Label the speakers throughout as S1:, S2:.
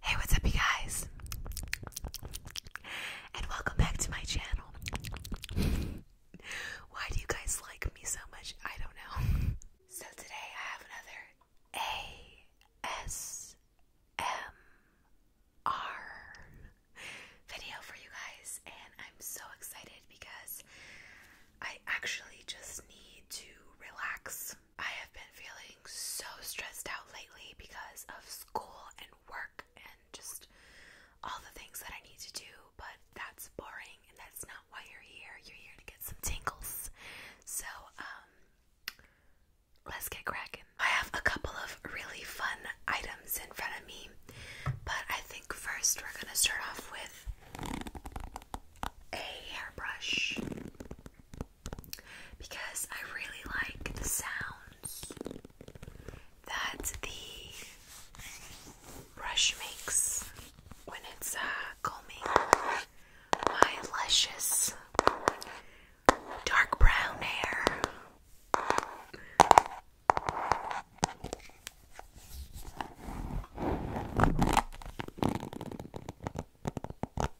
S1: Hey, what's up, you guys? And welcome back to my channel. Why do you guys like me so much? I don't know. So, today I have another ASMR video for you guys, and I'm so excited because I actually just need to relax I have been feeling so stressed out lately because of school and work and just all the things that I need to do, but that's boring and that's not why you're here. You're here to get some tingles. So, um, let's get cracking. I have a couple of really fun items in front of me, but I think first we're gonna start off with a hairbrush because I really like the sounds that the brush makes when it's uh, combing my luscious dark brown hair.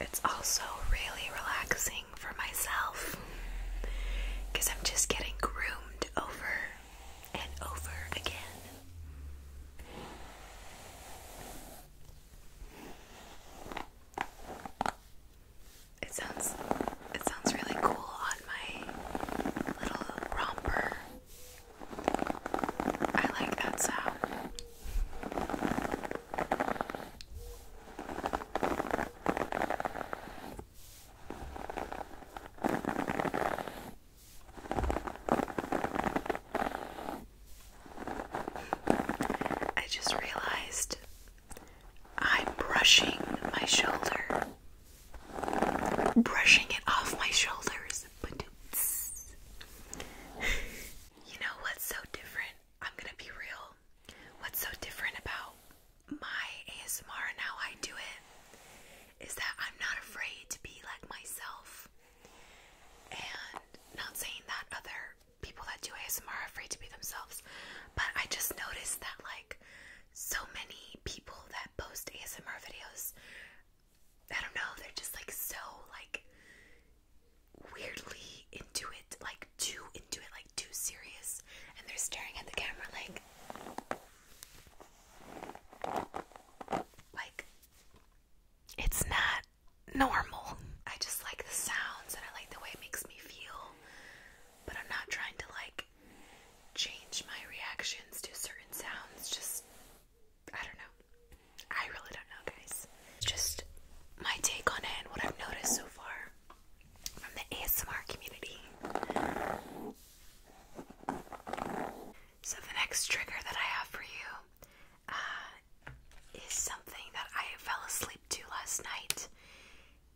S1: It's also really relaxing for myself because I'm just getting groomed over and over again. It sounds it sounds really cool on my little romper. I like that sound. I just realized I'm brushing my shoulder, brushing it off my shoulders. You know what's so different? I'm gonna be real. What's so different about my ASMR and how I do it is that I'm not afraid to be like myself. And not saying that other people that do ASMR are afraid to be themselves, but I just noticed that like so many people that post ASMR videos, I don't know, they're just like so like weirdly into it, like too into it, like too serious, and they're staring at the camera like like, it's not normal. I just like the sounds and I like the way it makes me feel, but I'm not trying to like change my reactions to certain sounds. Just, I don't know. I really don't know, guys. Just my take on it and what I've noticed so far from the ASMR community. So, the next trigger that I have for you uh, is something that I fell asleep to last night,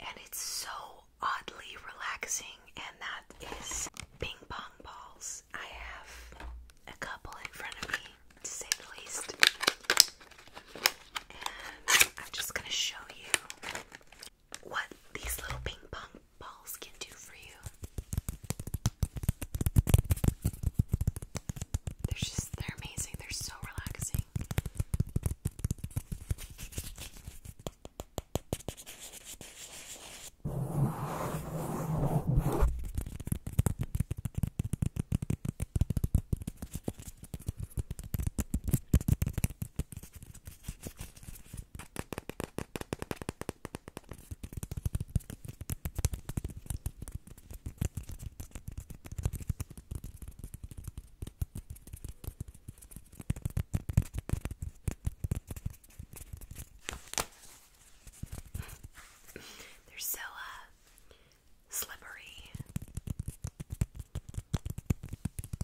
S1: and it's so oddly relaxing, and that is ping pong balls. I have a couple in front of me, to say the least, and I'm just gonna show you what these little ping pong balls can do for you. They're just, they're amazing. They're so relaxing. They're so uh slippery.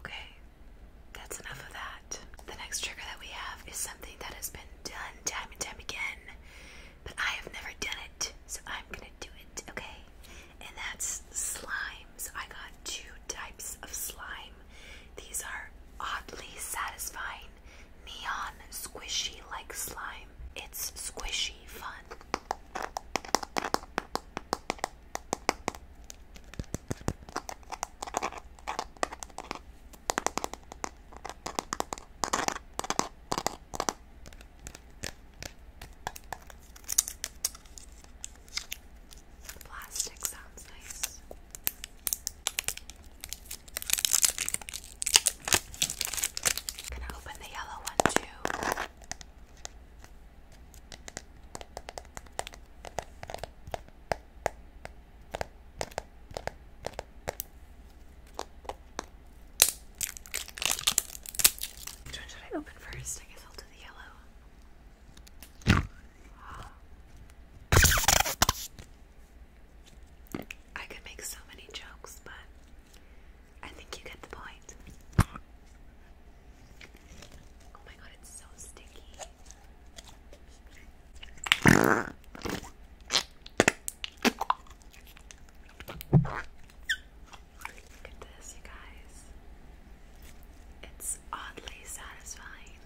S1: Okay, that's enough of that. The next trigger that we have is something that has been done time and time again, but I have never done it, so I'm gonna do it, okay? And that's slime. So I got two types of slime. These are oddly satisfying, neon, squishy like slime. It's squishy fun. Plastic sounds nice. gonna open the yellow one too. Which one should I open first? I guess I'll do the yellow. I could make so many jokes, but I think you get the point. Oh my god, it's so sticky. Look at this, you guys. It's oddly satisfying.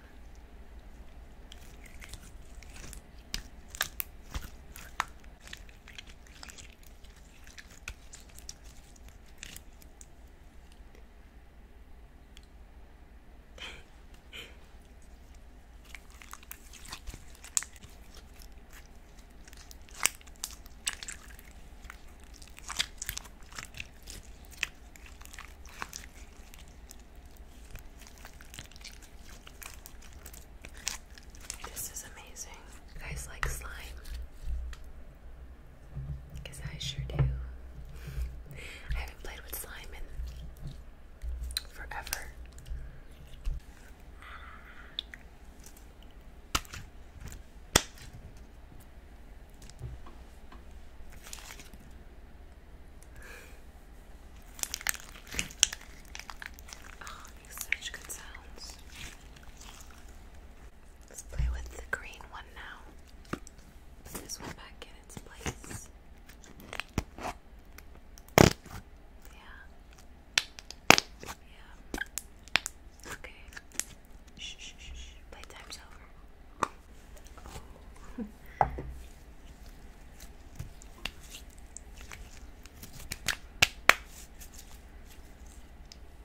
S1: This is amazing. You guys like slime? Because I sure do. I haven't played with slime in forever. Oh, makes such good sounds. Let's play with the green one now this one back in its place. Yeah. Yeah. Okay. Shh, shh, shh, Playtime's over.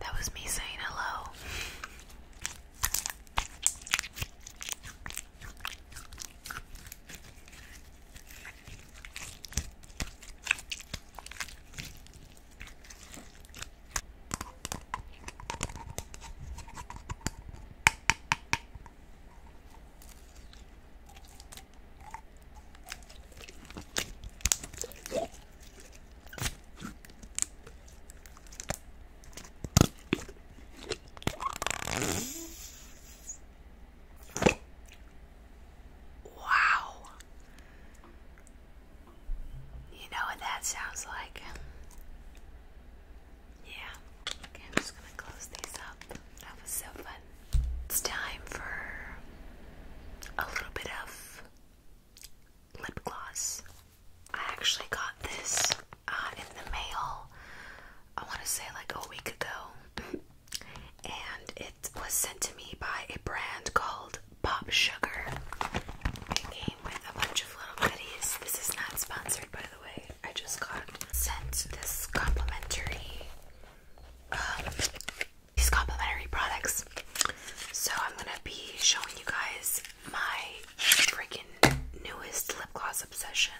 S1: That was me saying hello. Wow. You know what that sounds like? Yeah. Okay, I'm just gonna close these up. That was so fun. It's time for a little bit of lip gloss. I actually got this uh, in the mail, I want to say like a week ago, and it was sent to me by a brand called Pop Sugar. It came with a bunch of little goodies. This is not sponsored, by the way. I just got sent this complimentary um, these complimentary products. So I'm gonna be showing you guys my freaking newest lip gloss obsession.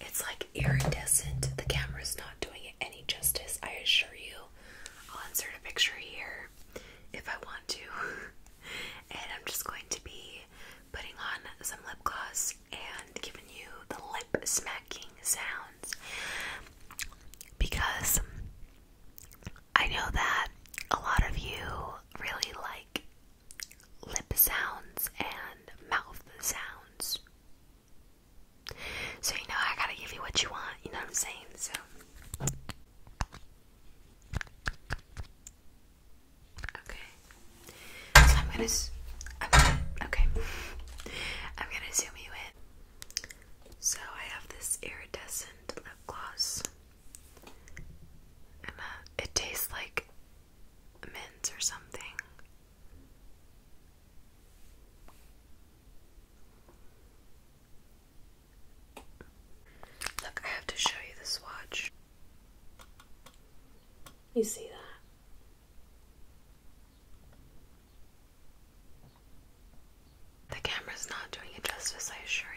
S1: It's like iridescent. The camera's not doing it any justice, I assure you. I'll insert a picture here if I want to. and I'm just going to be putting on some lip gloss and giving you the lip smacking sounds because I know that a lot of you really like lip sounds and mouth sounds. So, you know, I gotta give you what you want, you know what I'm saying? So. Okay. So I'm gonna, I'm okay. I'm gonna zoom you in. So I have this iridescent lip gloss, and uh, it tastes like mint or something. Look, I have to show you the swatch. You see that? The camera is not doing it justice, I assure you.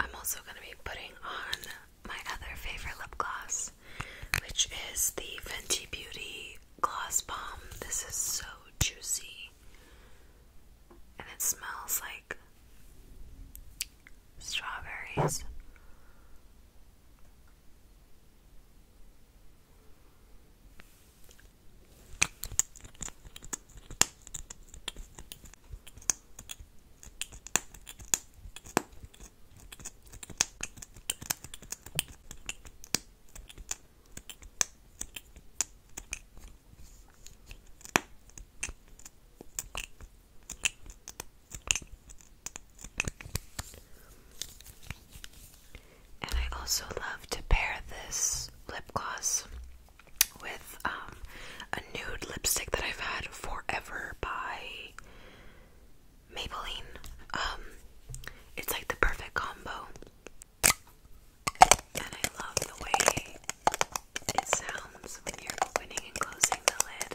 S1: I'm also going to be putting on my other favorite lip gloss, which is the Fenty Beauty Gloss Bomb. This is so juicy and it smells like strawberries. And I also love to pair this lip gloss with um, a nude lipstick that I've had forever by Maybelline. Um, it's like the perfect combo, and I love the way it sounds when you're opening and closing the lid.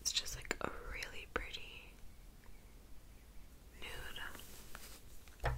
S1: It's just like a really pretty nude.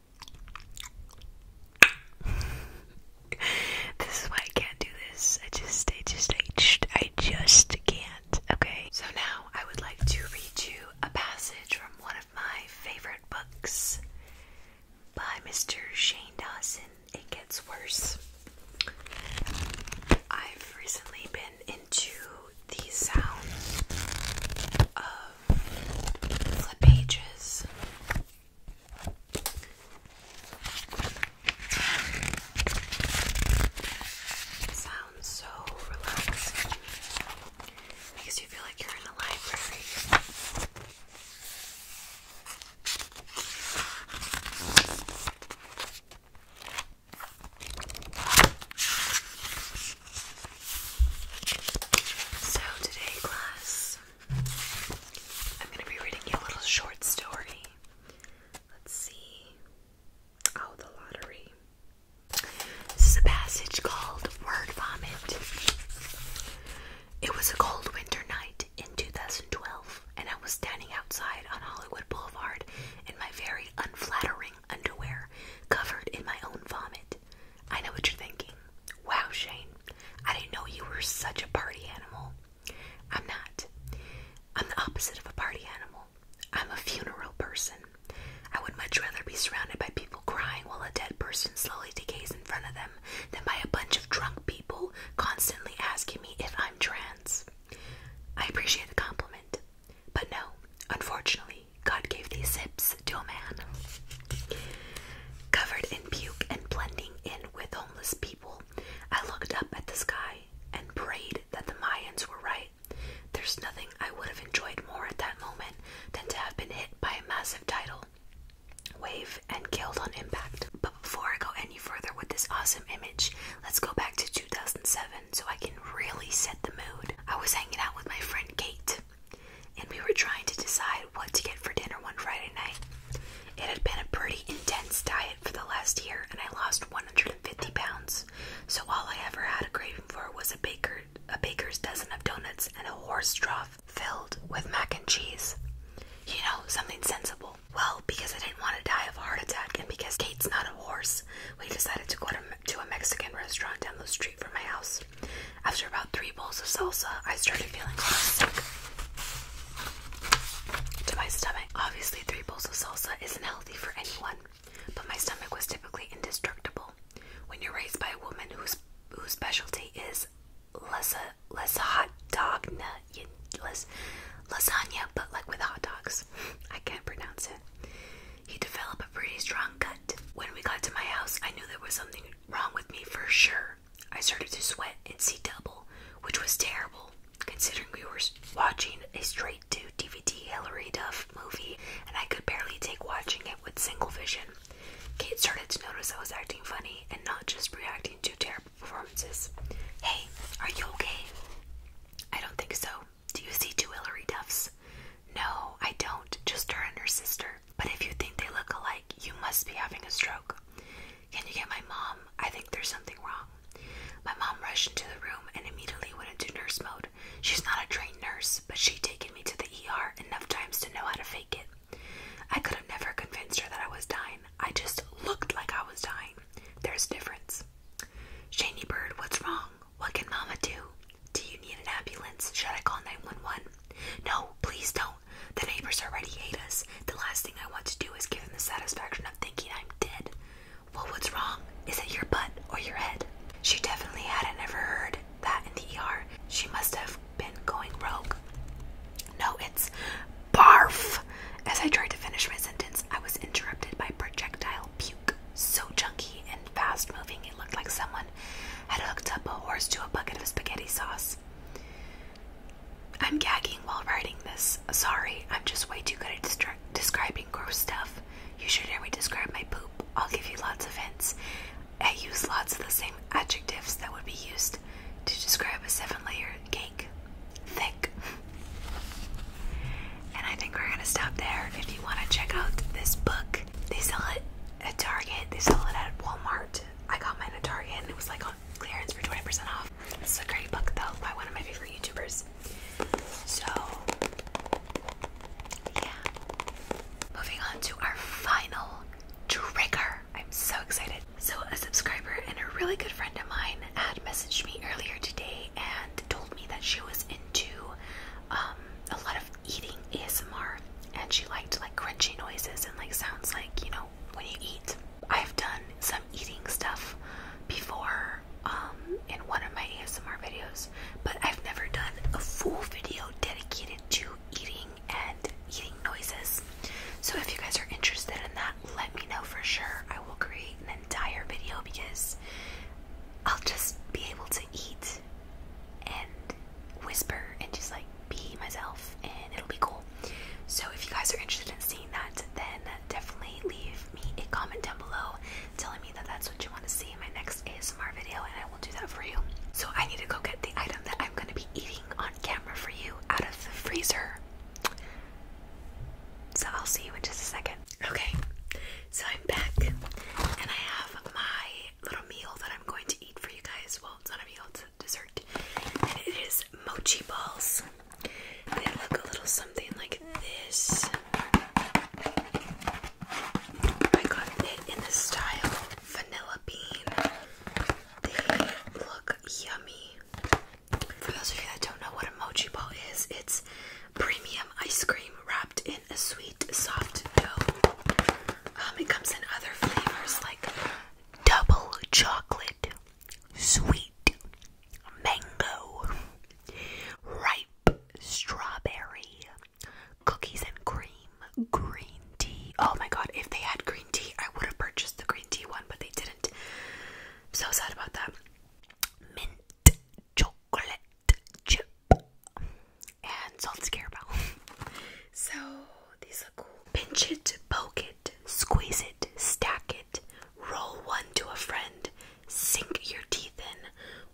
S1: this is why I can't do this. I just, I just, I just, I just can't. Okay. So now I would like to read you a passage from one of my favorite books by Mr. Shane Dawson. It gets worse. I've recently been into the sounds of flip pages Sounds so relaxing because you feel like you're in a library. So, today, class, I'm gonna be reading you a little short story. Let's see. Oh, the lottery. This is a passage called Word Vomit. It was a cold winter night in 2012, and I was standing outside on Hollywood Boulevard in my very unflattering underwear, covered in my own vomit. I know what you're thinking. Wow, Shane, I didn't know you were such a party animal. I'm not. I'm the opposite of a party animal. I'm a funeral person. I would much rather be surrounded by people crying while a dead person slowly decays in front of them than by a bunch of drunk people constantly asking me if I'm trans. I appreciate the compliment, but no, unfortunately, God gave these hips Stillman. Covered in puke and blending in with homeless people, I looked up at the sky and prayed that the Mayans were right. There's nothing I would have enjoyed more at that moment than to have been hit by a massive tidal wave and killed on impact. But before I go any further with this awesome image, let's go back to 2007 so I can really set the mood. I was hanging out with my friend Kate and we were trying to decide what to get for dinner one Friday night. It had been a pretty intense diet for the last year, and I lost 150 pounds. So all I ever had a craving for was a baker, a baker's dozen of donuts, and a horse trough filled with mac and cheese. You know, something sensible. Well, because I didn't want to die of a heart attack, and because Kate's not a horse, we decided to go to, a Mexican restaurant down the street from my house. After about three bowls of salsa, I started feeling kind sick to my stomach. Obviously, three bowls of salsa isn't healthy for anyone, but my stomach was typically indestructible. When you're raised by a woman whose whose specialty is lasagna, less hot dog, less lasagna, but like with hot dogs, I can't pronounce it. You develop a pretty strong gut. When we got to my house, I knew there was something wrong with me for sure. I started to sweat and see double, which was terrible, considering we were watching a straight to DVD Hilary Duff movie and I could barely take watching it with single vision. Kate started to notice I was acting funny and not just reacting to terrible performances. Hey, are you okay? I don't think so. Do you see two Hilary Duffs? No, I don't, just her and her sister. But if you think they look alike, you must be having a stroke. Can you get my mom? I think there's something wrong. My mom rushed into the room and immediately went into nurse mode. She's not a trained nurse, but she'd taken me to the ER enough times to know how to fake it. I could have never convinced her that I was dying. I just looked like I was dying. There's a difference. Shani Bird, what's wrong? What can Mama do? Do you need an ambulance? Should I call 911? No, please don't. The neighbors already hate us. The last thing I want to do is give them the satisfaction of thinking I'm dead. Well, what's wrong? Is it your butt or your head? She definitely hadn't ever heard that in the ER. She must have been going rogue. No, it's barf. As I tried to finish my sentence, I was interrupted by projectile puke. So chunky and fast moving, it looked like someone had hooked up a horse to a bucket of spaghetti sauce. I'm gagging while writing this. Sorry, I'm just way too good at describing gross stuff. You should hear me describe my poop. I'll give you lots of hints. I use lots of the same adjectives that would be used to describe a seven layer cake. Thick. And I think we're going to stop there. If you want to check out this book, they sell it at Target. They sell it at Walmart. I got mine at Target and it was like on clearance for 20% off. This is a great book though by one of my favorite YouTubers. So yeah. Moving on to our final trigger. I'm so excited. So a subscriber and a really good friend of mine had messaged me earlier today and told me that she was into um, a lot of eating ASMR and she liked like crunchy noises and like sounds like, you know, when you eat. I've done some eating stuff before um, in one of my ASMR videos, but I've never done a full video dedicated to eating and eating noises. So if you guys are interested in that, let me know for sure. I will create an entire video because I'll just be able to eat and whisper and just like be myself and it'll be cool. So if you guys are interested in seeing that, then definitely leave me a comment down below telling me that that's what you want to see in my next ASMR video and I will do that for you. So I need to go get the item that I'm going to be eating on camera for you out of the freezer. So I'll see you in just a second. Okay, so I'm back and I have my little meal that I'm going to eat for you guys. Well, it's not a meal, it's a dessert. And it is mochi balls. They look a little something like this. I got it in the style vanilla bean. They look yummy. For those of you that don't know what a mochi ball is, it's premium ice cream wrapped in a sweet, soft dough. Um, it comes in other flavors like double chocolate, sweet, mango, ripe strawberry, cookies and cream, green tea. Oh my god, if they had green tea, I would have purchased the green tea one, but they didn't. so sad about that. Mint chocolate chip and salted caramel. so these look cool. Pinch it, poke it, squeeze it, stack it, roll one to a friend, sink your teeth in,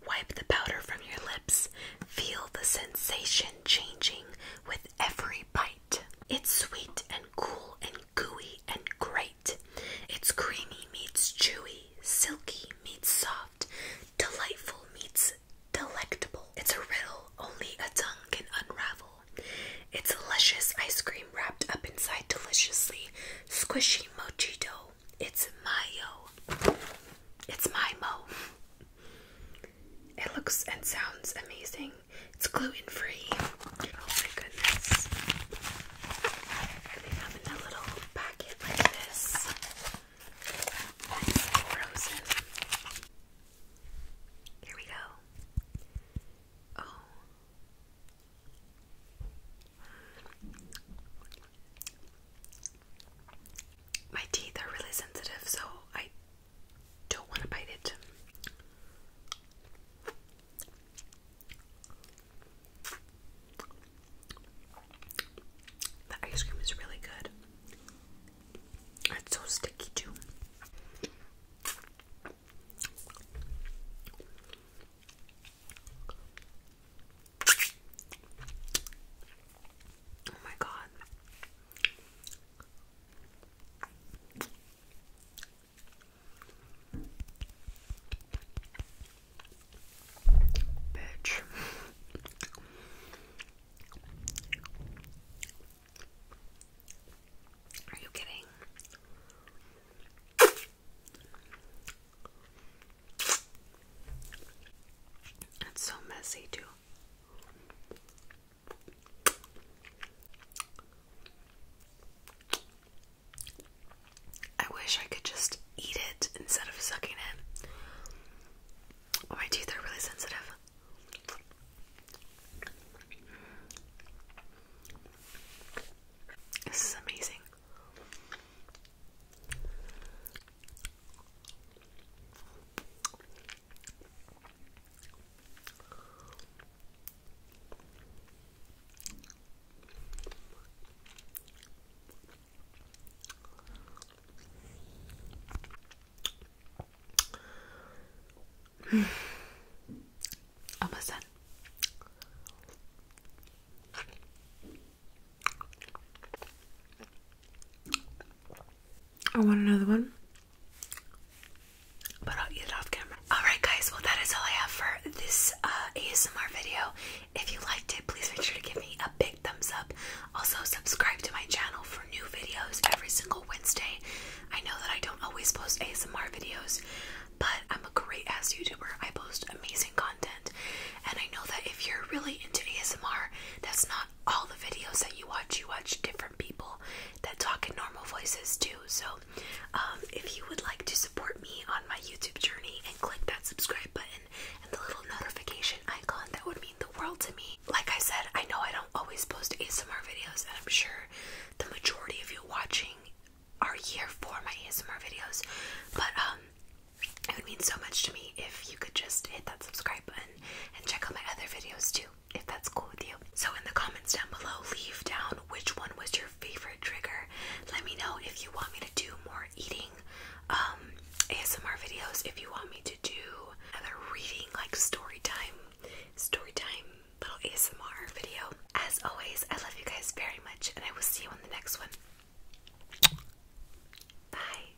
S1: wipe the powder from your lips, feel the sensation changing with every bite. It's sweet and cool and gooey and great. It's creamy meets chewy, silky meets soft, Delightful meets delectable. It's a riddle only a tongue can unravel. It's luscious ice cream wrapped up inside deliciously squishy mochi dough. It's mayo. It's my mo. It looks and sounds amazing. It's gluten free. Oh my goodness they come in a little packet like this. Nice frozen. Here we go. Oh. My teeth are really sensitive, so I don't want to bite it. The ice cream is really good. It's so sticky, too. Oh, my God. Bitch. Are you kidding? It's so messy, too. I wish I could just eat it instead of sucking it. my teeth are really sensitive. This is amazing. Almost done. I want another one, but I'll eat it off camera. Alright, guys, well, that is all I have for this uh, ASMR video. If you liked it, please make sure to give me a big thumbs up. Also, subscribe to my channel for new videos every single Wednesday. I know that I don't always post ASMR videos, but I'm a great ass YouTuber. I post amazing content, and I know that if you're really into ASMR, that's not all the videos that you watch. You watch different people that talk in normal voices too. So, um, if you would like to support me on my YouTube journey, click that subscribe button and the little notification icon. That would mean the world to me. Like I said, I know I don't always post ASMR videos, and I'm sure the majority of you watching are here for my ASMR videos, but um, it would mean so much to me if you could just hit that subscribe button and check out my other videos too, if that's cool with you. So, in the comments down below, leave down which one was your favorite trigger. Let me know if you want me to do more eating um, ASMR videos, if you want me to do other reading, like story time, story time little ASMR video. As always, I love you guys very much, and I will see you on the next one. Bye.